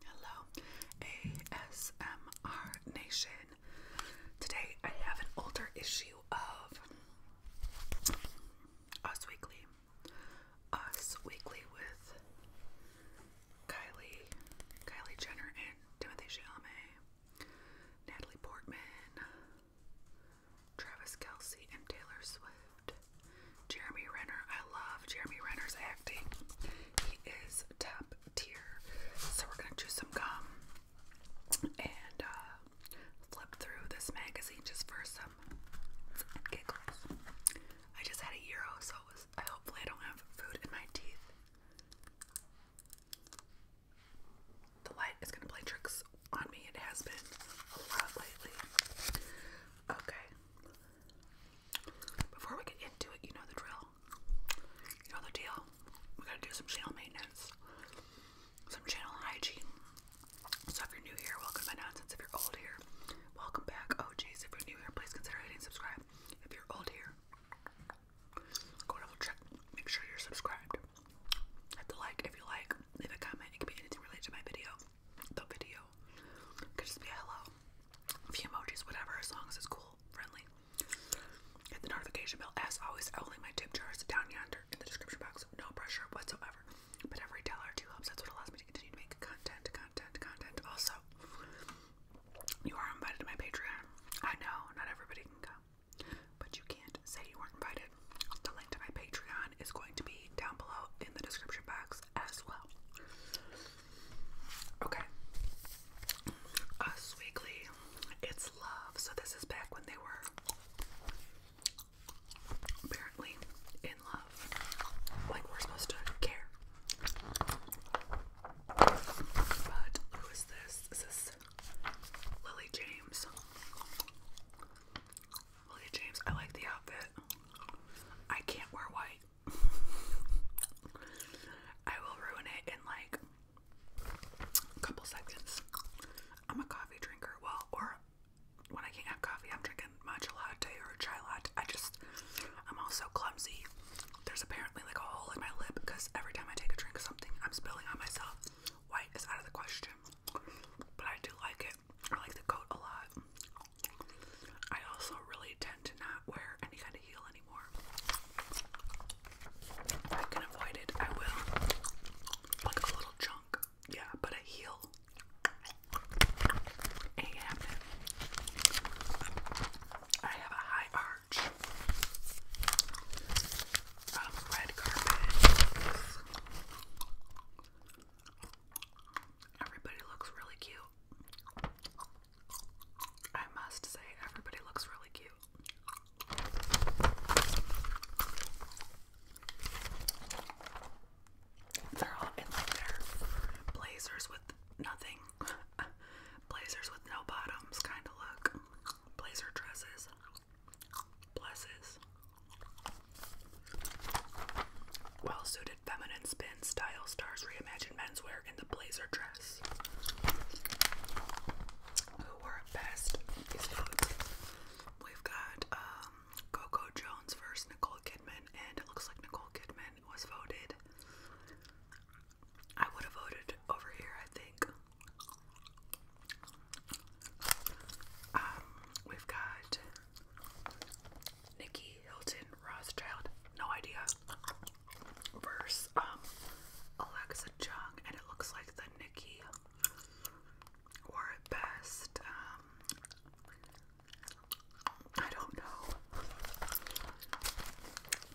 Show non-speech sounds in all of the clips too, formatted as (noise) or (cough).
Hello, ASMR Nation. Today I have an older issue of Us Weekly. Us Weekly with Kylie, Kylie Jenner, and Timothy Chalamet, Natalie Portman, Travis Kelsey and Taylor Swift. Jeremy Renner. I love Jeremy Renner's acting. He is top tier. So we're gonna choose some gum and uh, flip through this magazine just for some giggles. I just had a euro, so it was, I hopefully I don't have food in my teeth. The light is gonna play tricks on me. It has been a lot lately. Okay. Before we get into it, you know the drill. You know the deal. We gotta do some channel maintenance, some channel hygiene. So if you're new here, welcome to If you're old here, welcome back. Oh jeez! if you're new here, please consider hitting subscribe. If you're old here, go double check. Make sure you're subscribed. Hit the like if you like. Leave a comment. It can be anything related to my video the video. could just be a hello, a few emojis, whatever, as long as it's cool, friendly. Hit the notification bell. As always, I will link my tip jars down yonder in the description box. No pressure whatsoever. But every dollar two helps. That's what allows me to continue to make content, content, content. Also, you are invited to my Patreon. I know not everybody can come, but you can't say you weren't invited. The link to my Patreon is going to be down below in the description box as well. Okay. Us Weekly, it's love. So this is back when they were apparently in love. Like we're supposed to care. But who is this? Is this Lily James? Look at James. I like the outfit. I can't wear white. (laughs) I will ruin it in like a couple seconds. I'm a coffee drinker. Well, or when I can't have coffee, I'm drinking matcha latte or chai latte. I just, I'm also clumsy. There's apparently like a hole in my lip because every time I take a drink of something, I'm spilling on myself. White is out of the question, but I do like it. I like the coat a lot. I also really tend to not wear any kind of heel anymore. I can avoid it, I will. Like a little chunk, yeah, but a heel. Ain't I have a high arch. red carpet. Everybody looks really cute. I must say, everybody looks really cute. They're all in like blazers with nothing, (laughs) blazers with no bottoms kind of look, blazer dresses. Blesses. Well suited feminine spin style stars reimagined menswear in the blazer dress. Who wore best? We've got um, Coco Jones versus Nicole Kidman, and it looks like Nicole Kidman was voted. I would have voted over here, I think. Um, we've got Nikki Hilton Rothschild, no idea, versus um, Alexa Chung, and it looks like the Nikki wore it best. Um, I don't know.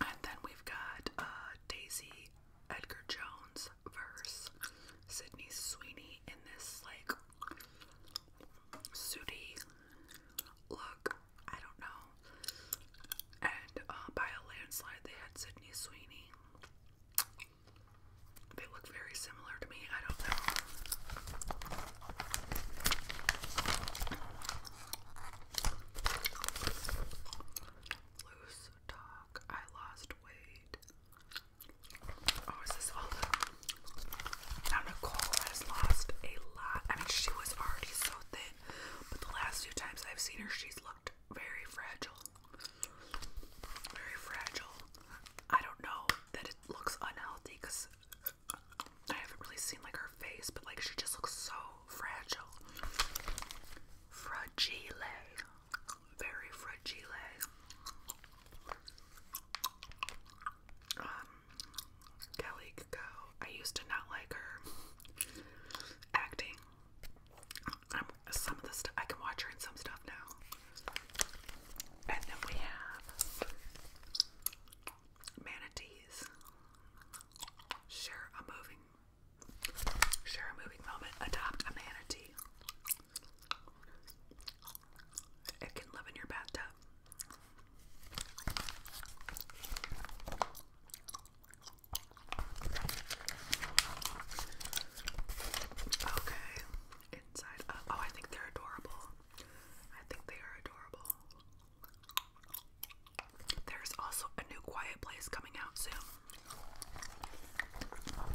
And then we've got uh, Daisy Edgar Jones versus Sydney Sweeney in this like sooty look. I don't know. And uh, by a landslide, they had Sydney Sweeney. They look very similar to me. I don't know. Loose talk. I lost weight. Oh, is this all the... Now Nicole has lost a lot. I mean, she was already so thin, but the last few times I've seen her, she's looked very fragile. Very fragile. I don't know that it looks unhealthy because I haven't really seen like her face, but like she just looks so fragile. Fragile very fragile. Um, Kelly could I used to not like her acting. Um, some of the stuff I can watch her in some stuff now. And then we have manatees. Sure, a moving Share a moving moment. Adopt a manatee. It can live in your bathtub. Okay. Inside up. Uh, oh, I think they're adorable. I think they are adorable. There's also a new quiet place coming out soon.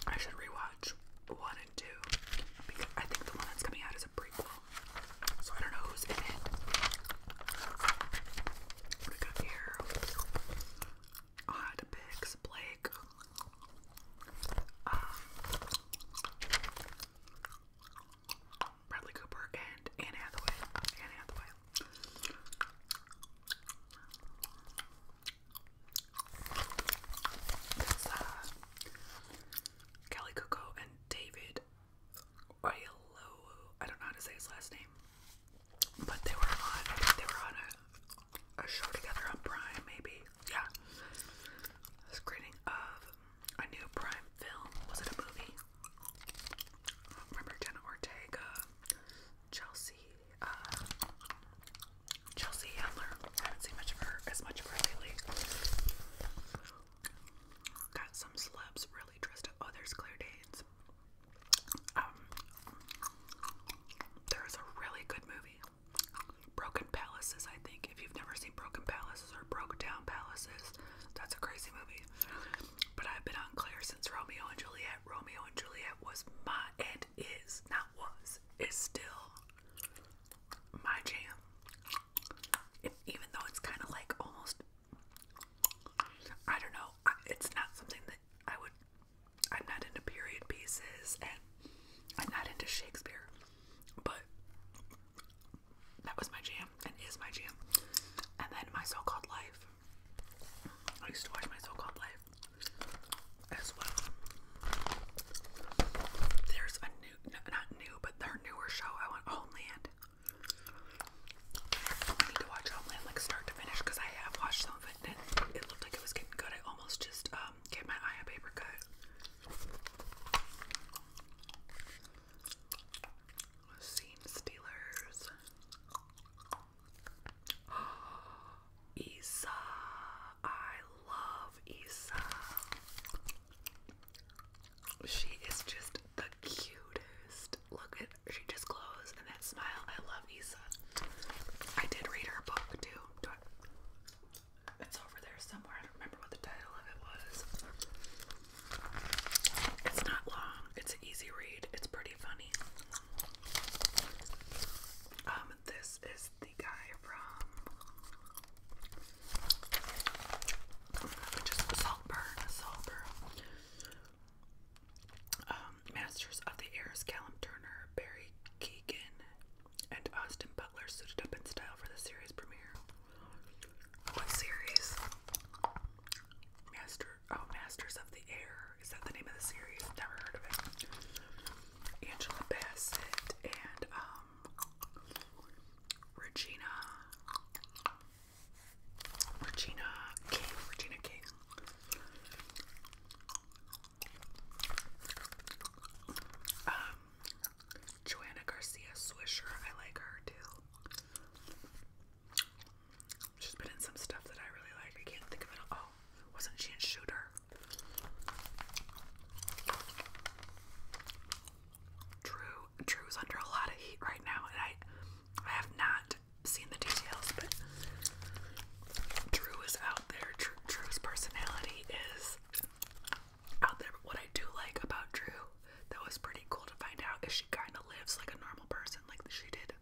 I should rewatch one and two because I think the one that's coming out is a prequel. So I don't know who's in it. What we here? Odd Picks, Blake. Um, Bradley Cooper and Anne Hathaway. Anne Hathaway. Uh, Kelly Coco and David Oyelowo. I don't know how to say his last name, but they were on. they were on a, show together on Prime, maybe. Yeah, screening of a new Prime film. Was it a movie? Remember Jenna Ortega, Chelsea uh, Chelsea Handler. I haven't seen much of her, as much of her lately. Got some celebs really dressed up. Oh, there's Claire Danes. Um, there is a really good movie, Broken Palaces. I think if you've never seen Broken Palaces or Broke Down Palaces, that's a crazy movie. But I've been on Claire since Romeo and Juliet Romeo and Juliet was my and is not was is still my jam. even though it's kind of like almost I don't know, it's not something that I would. I'm not into period pieces and I'm not into Shakespeare, but that was my jam and is my jam. And then my so called life I used to watch my so-called life as well. There's a new, not new, but their newer show. I want Homeland. I need to watch Homeland like start to finish because I have watched some of it and it looked like it was getting good. I almost just um gave my eye a paper cut. Scene stealers. (gasps) Isa, I love Isa. She is just the cutest. Look at her just glows and that smile. I love Isa. I did read her book too. it's over there somewhere. I don't remember what the title of it was. It's not long. It's an easy read. It's pretty funny. Um, this is the guy from just Saltburn, Saltburn. Um, Masters of the Airs, Callum Turner, Barry Keegan, and Austin Butler suited up in style for the series premiere. What series? Master oh, Masters of the Air. Is that the name of the series? Never heard of it. Angela Bassett and um Regina Regina King. Regina King. Um Joanna Garcia Swisher, I like her too. She's been in some stuff that I really like. I can't think of it. Oh, wasn't she in Shooter? Drew Drew's under a lot of heat right now, and I I have not seen the details, but Drew is out there. Drew, Drew's personality is out there. But what I do like about Drew that was pretty cool to find out is she kind of lives like a normal person, like she did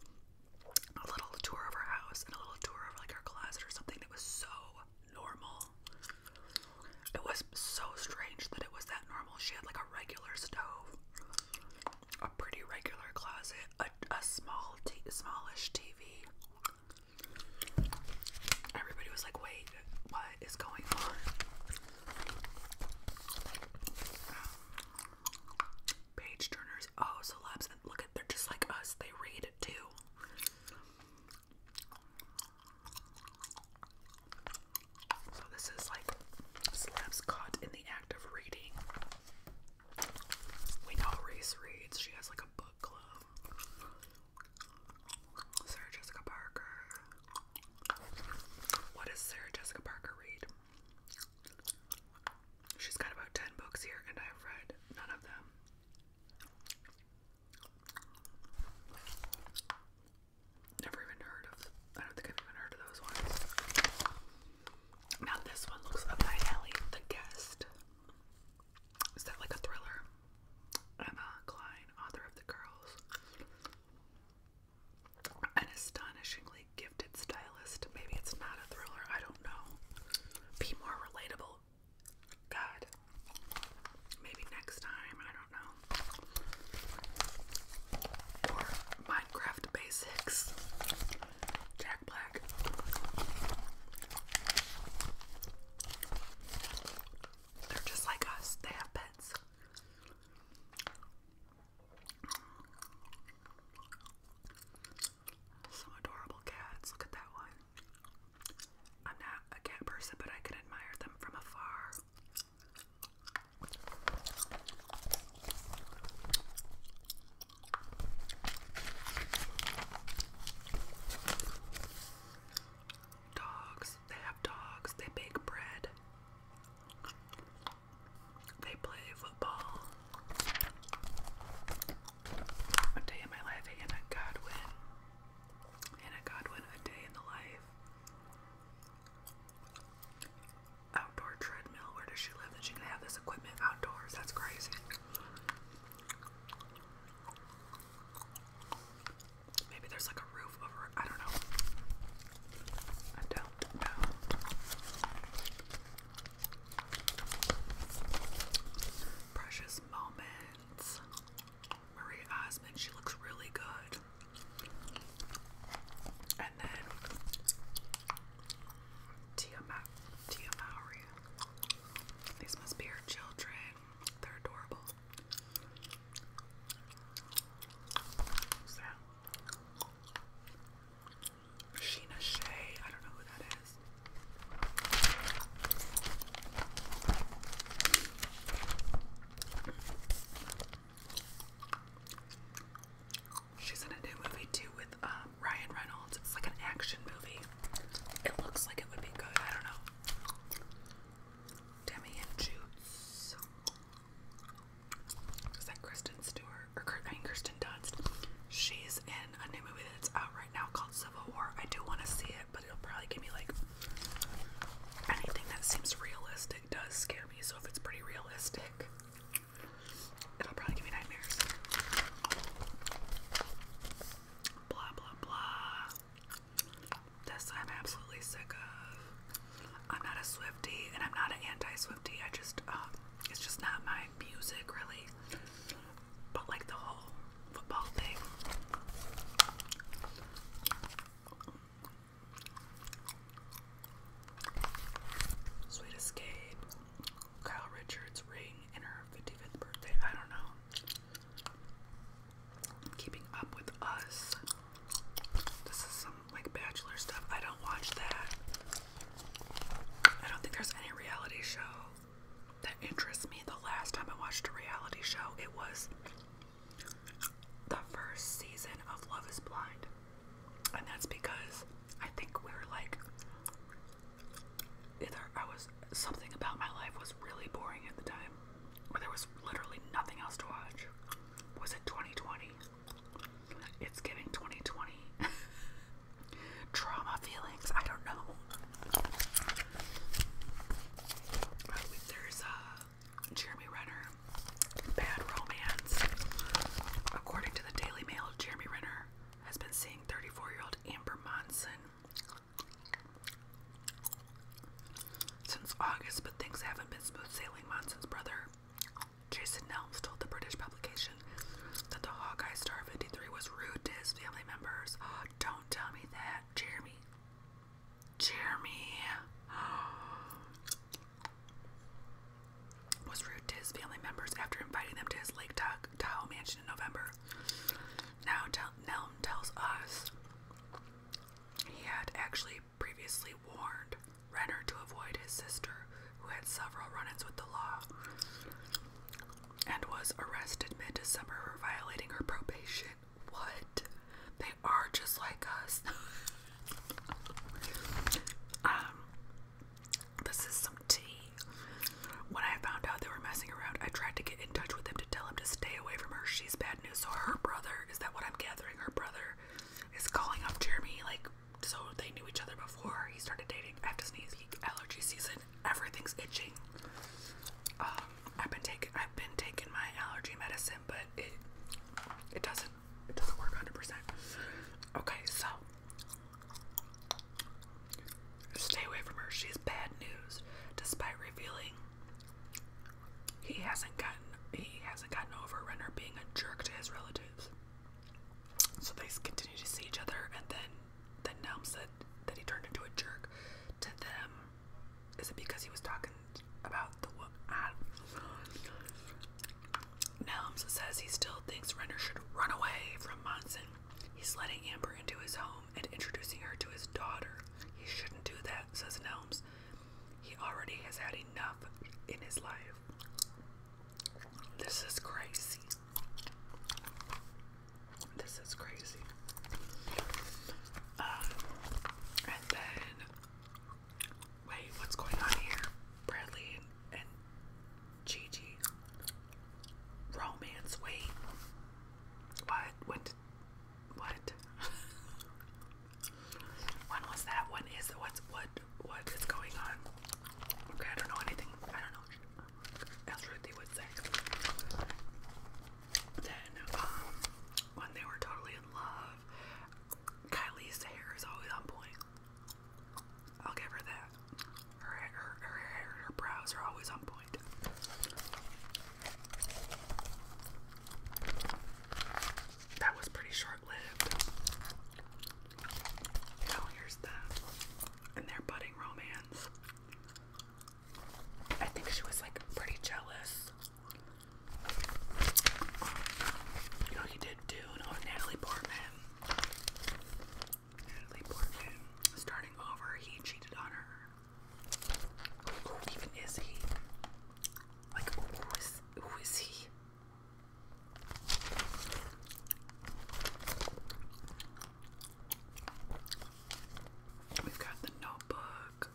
a little tour of her house and a little tour of like her closet or something that was so normal. It was so strange that it was that normal. She had like a regular stove, a pretty regular closet, a, small, t smallish TV. Everybody was like, "Wait, what is going on?" Um, Page turners. Oh, celebs. And look at they're just like us. They read it too. So this is like celebs caught in the act of reading. We know Reese reads. She has like a book club. Sarah Jessica Parker. What does Sarah Jessica Parker read? She's got about 10 books here, and I've read none of them. Never even heard of. I don't think I've even heard of those ones. Now, this one looks up my alley. The Guest. Is that like a thriller? Emma Klein, author of The Girls an astonishingly gifted stylist. Maybe it's not a thriller, I don't know. Be more relatable. God. Maybe next time, I don't know. Or Minecraft Basics. Jack Black. They're just like us, they have pets. Some adorable cats. Look at that one. I'm not a cat person, but I can admire them from afar. Dogs. They have dogs. They bake bread. They play football. One day in my life, Anna Godwin. Anna Godwin, a day in the life. Outdoor treadmill. Where does she live that she can have this equipment outdoors? That's crazy. Maybe there's like a I don't know. I don't know. Precious Moments. Maria Osmond, she looks really good. And then Tia Mowry. These must be her children. They're adorable. Sheena Shea. I don't know who that is. She's in a new movie too with um, Ryan Reynolds. It's like an action movie. It looks like it would be good. I don't know. Demi and Jutes. Is that Kristen Stewart or I mean, Kristen Dunst? She's in a new movie that's out right now called Civil War. I do want to see it, but it'll probably give me like anything that seems realistic does scare me. So if it's pretty realistic, it'll probably give me nightmares. Blah blah blah. This I'm absolutely sick of. I'm not a Swiftie, and I'm not an anti Swifty. I just, um, it's just not my music really. But like the whole football thing. Sweet Escape, Kyle Richards' ring in her 55th birthday. I don't know. Keeping Up With Us. This is some like bachelor stuff. I don't watch that. I don't think there's any reality show that interests me. The last time I watched a reality show, it was the first season of Love is Blind. And that's because I think we were like, either I was, something about my life was really boring at the time where there was literally nothing else to watch. Was it 2020? It's giving 2020 (laughs) trauma feelings. I don't know. there's a uh, Jeremy Renner, Bad Romance. According to the Daily Mail, Jeremy Renner has been seeing 34 year old Amber Monson since August, but things haven't been smooth sailing. Monson's brother, Jason Nelms, told the British publication that the Hawkeye Star 53 was rude to his family members. Oh, don't tell me that, Jeremy. Jeremy (gasps) was rude to his family members after inviting them to his Lake Tahoe mansion in November. Now, Nelm tells us he had actually previously warned Renner to avoid his sister, who had several run-ins with the law, and was arrested mid-December for violating her probation. What? They are just like us. (laughs) um, this is some tea. When I found out they were messing around, I tried to get in touch with him to tell him to stay away from her. She's bad news. So her brother, is that what I'm gathering? her brother is calling up Jeremy, like, so they knew each other before he started dating. I have to sneeze. Allergy season, everything's itching. Um, I've been taking, I've been taking my allergy medicine, but it, it doesn't, it doesn't work 100%. Okay, so stay away from her. She's bad news, despite revealing he hasn't gotten he hasn't gotten over Renner being a jerk to his relatives. So they continue to see each other and then then Nelm said that he turned into a jerk to them. Is it because he was talking about the woman? Nelms says he still thinks Renner should run away from Monson. He's letting Amber into his home and introducing her to his daughter. He shouldn't do that, says Nelms. He already has had enough in his life. This is crazy. This is crazy. Um, and then, wait, what's going on here? Bradley and, Gigi. Romance, wait. What? When what? (laughs) when was that? When is What's what? What is going on? Okay, I don't know anything. I don't know. As Ruthie would say. Then, um, when they were totally in love, Kylie's hair is always on point. I'll give her that. Her her her, her, her brows are always on point. That was pretty short lived. Now here's the and their budding romance. I think she was like pretty jealous. You know he did Dune on Natalie Portman. Natalie Portman. Starting over, he cheated on her. Who even is he? Like, who is, who is he? We've got the notebook.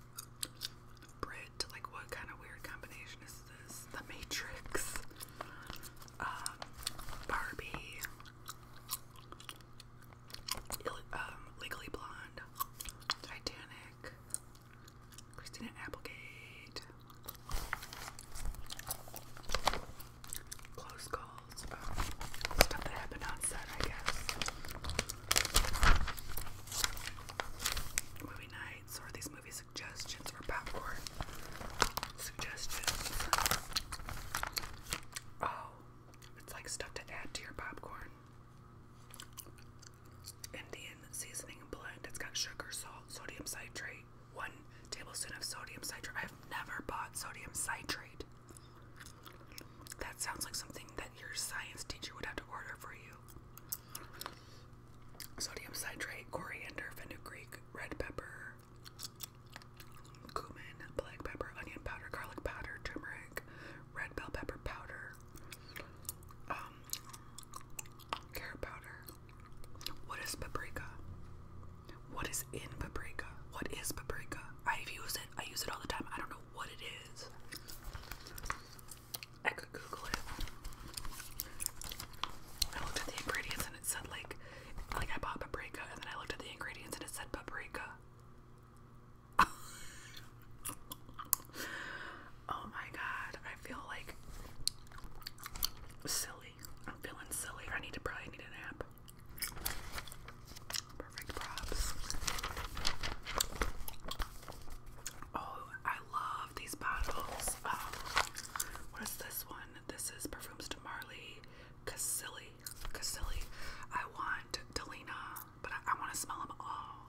Brit, like what kind of weird combination is this? The Matrix. Um, Barbie um, Legally Blonde, Titanic, Christina Applegate, Close Calls, um, stuff that happened on set, I guess. Movie nights, or these movie suggestions, or popcorn suggestions. Oh, it's like stuff to add to your popcorn. Indian seasoning blend. It's got sugar, salt, sodium citrate, one tablespoon of sodium citrate. I've never bought sodium citrate. That sounds like something that your science teacher would have to order for you. Sodium citrate, coriander, fenugreek, red pepper, cumin, black pepper, onion powder, garlic powder, turmeric, red bell pepper powder, um, carrot powder. What is paprika? What is in paprika? What is paprika? I've used it. I use it all the time. I don't know what it is. I could Google it. I looked at the ingredients and it said like, like I bought paprika, and then I looked at the ingredients and it said paprika. (laughs) oh my god, I feel like silly. I'm feeling silly. I need to probably need a nap. Perfect props. Oh, I love these bottles. Um, what is this one? This is Perfumes to Marley Casilli. Casilli. I want Delina but I, want to smell them all.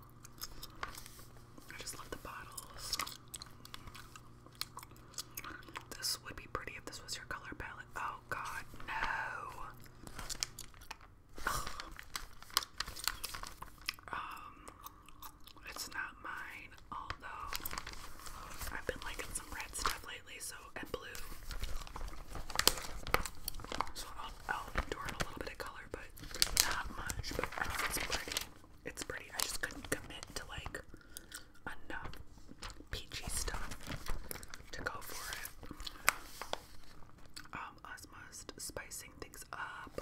I just love the bottles. This would be pretty if this was your color palette. Oh god, no. Um, it's not mine, although I've been liking some red stuff lately, so and blue. So I'll, endure a little bit of color, but not much. But it's pretty. It's pretty. I just couldn't commit to like enough peachy stuff to go for it. Um, us must spicing things up.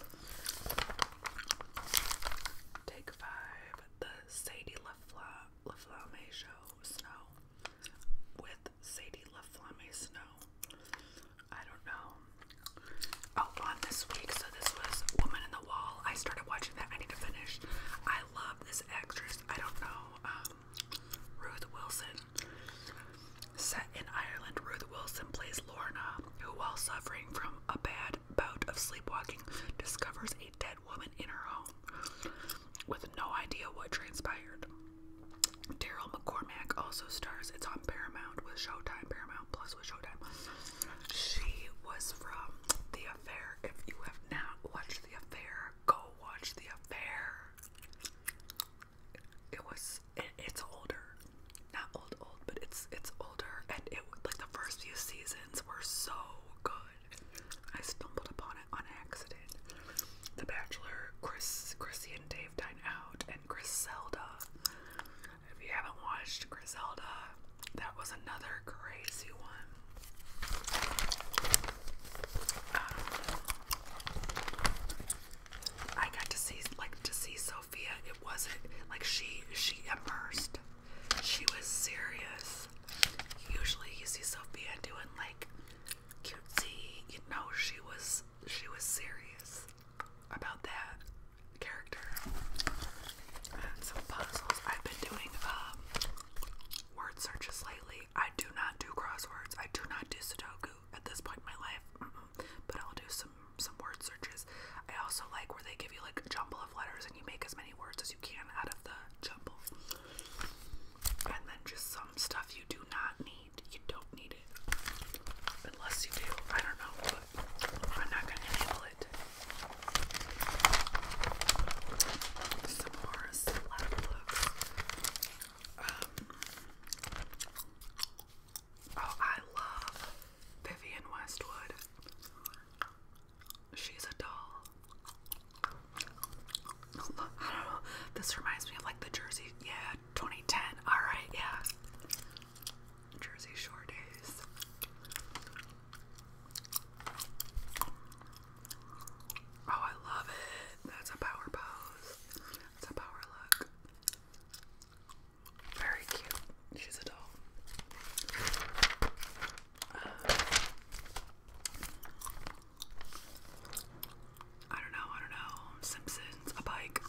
Take five. The Sadie LaFlamme Show Snow with Sadie LaFlamme Snow. I don't know. Oh, on this week, so this was Woman in the Wall. I started watching that. I need to finish. I love this actress. I don't know. Um, Ruth Wilson. Set in Ireland, Ruth Wilson plays Lorna, who, while suffering from a bad bout of sleepwalking, discovers a dead woman in her home with no idea what transpired. Daryl McCormack also stars. It's on Paramount with Showtime, Paramount Plus with Showtime. She was from The Affair. If you have not watched The Affair, go watch The Affair. It was. it's older, not old, old, but it's it's older, and it like the first few seasons were so good. I stumbled upon it on accident. The Bachelor, Chris, Chrissy and Dave dine out, and Griselda. If you haven't watched Griselda, that was another crazy one. Um, I got to see, like, to see Sophia. It wasn't like she she immersed. She was serious. Usually, you see Sophia doing like cutesy. You know, she was she was serious about that character. And some puzzles. I've been doing um, word searches lately. I do not do crosswords. I do not do Sudoku at this point in my life. But I'll do some some word searches. I also like where they give you like a jumble of letters and you make as many words as you can out of the jumble. And then just stuff you do not need. You don't need it. Unless you do. I don't know, but I'm not going to enable it. Some more celeb looks. Um, oh, I love Vivian Westwood. She's a doll. I don't know. This reminds me of like the Jersey, yeah, 2010. All right, yeah. Jersey Shore days. Oh, I love it. That's a power pose. That's a power look. Very cute. She's a doll. Uh, I don't know, I don't know, Simpsons, a bike,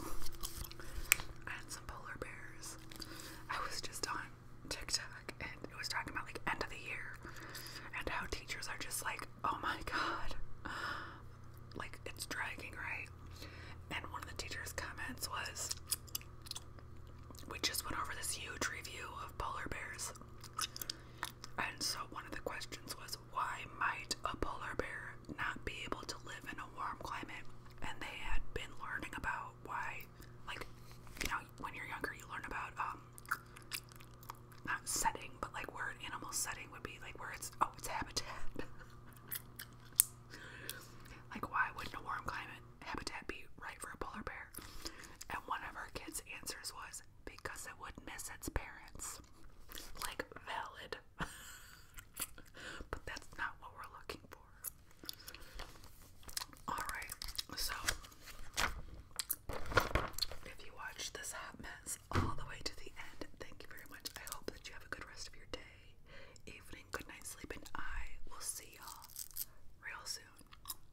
and some polar bears. I was just on TikTok and it was talking about like end of the year and how teachers are just like, oh my god, like it's dragging, right? And one of the teacher's comments was, we just went over this huge review of polar bears. And so one of the questions was why might a polar bear not be able to live in a warm climate? And they had been learning about why, like, you know, when you're younger, you learn about um, not setting, but like where an animal setting would be, like where it's oh, it's habitat. (laughs) like why wouldn't a warm climate habitat be right for a polar bear? And one of our kids' answers was because it would miss its parents. Like, valid. (laughs) but that's not what we're looking for. Alright, so if you watched this hot mess all the way to the end, thank you very much. I hope that you have a good rest of your day, evening, good night, sleep, and I will see y'all real soon.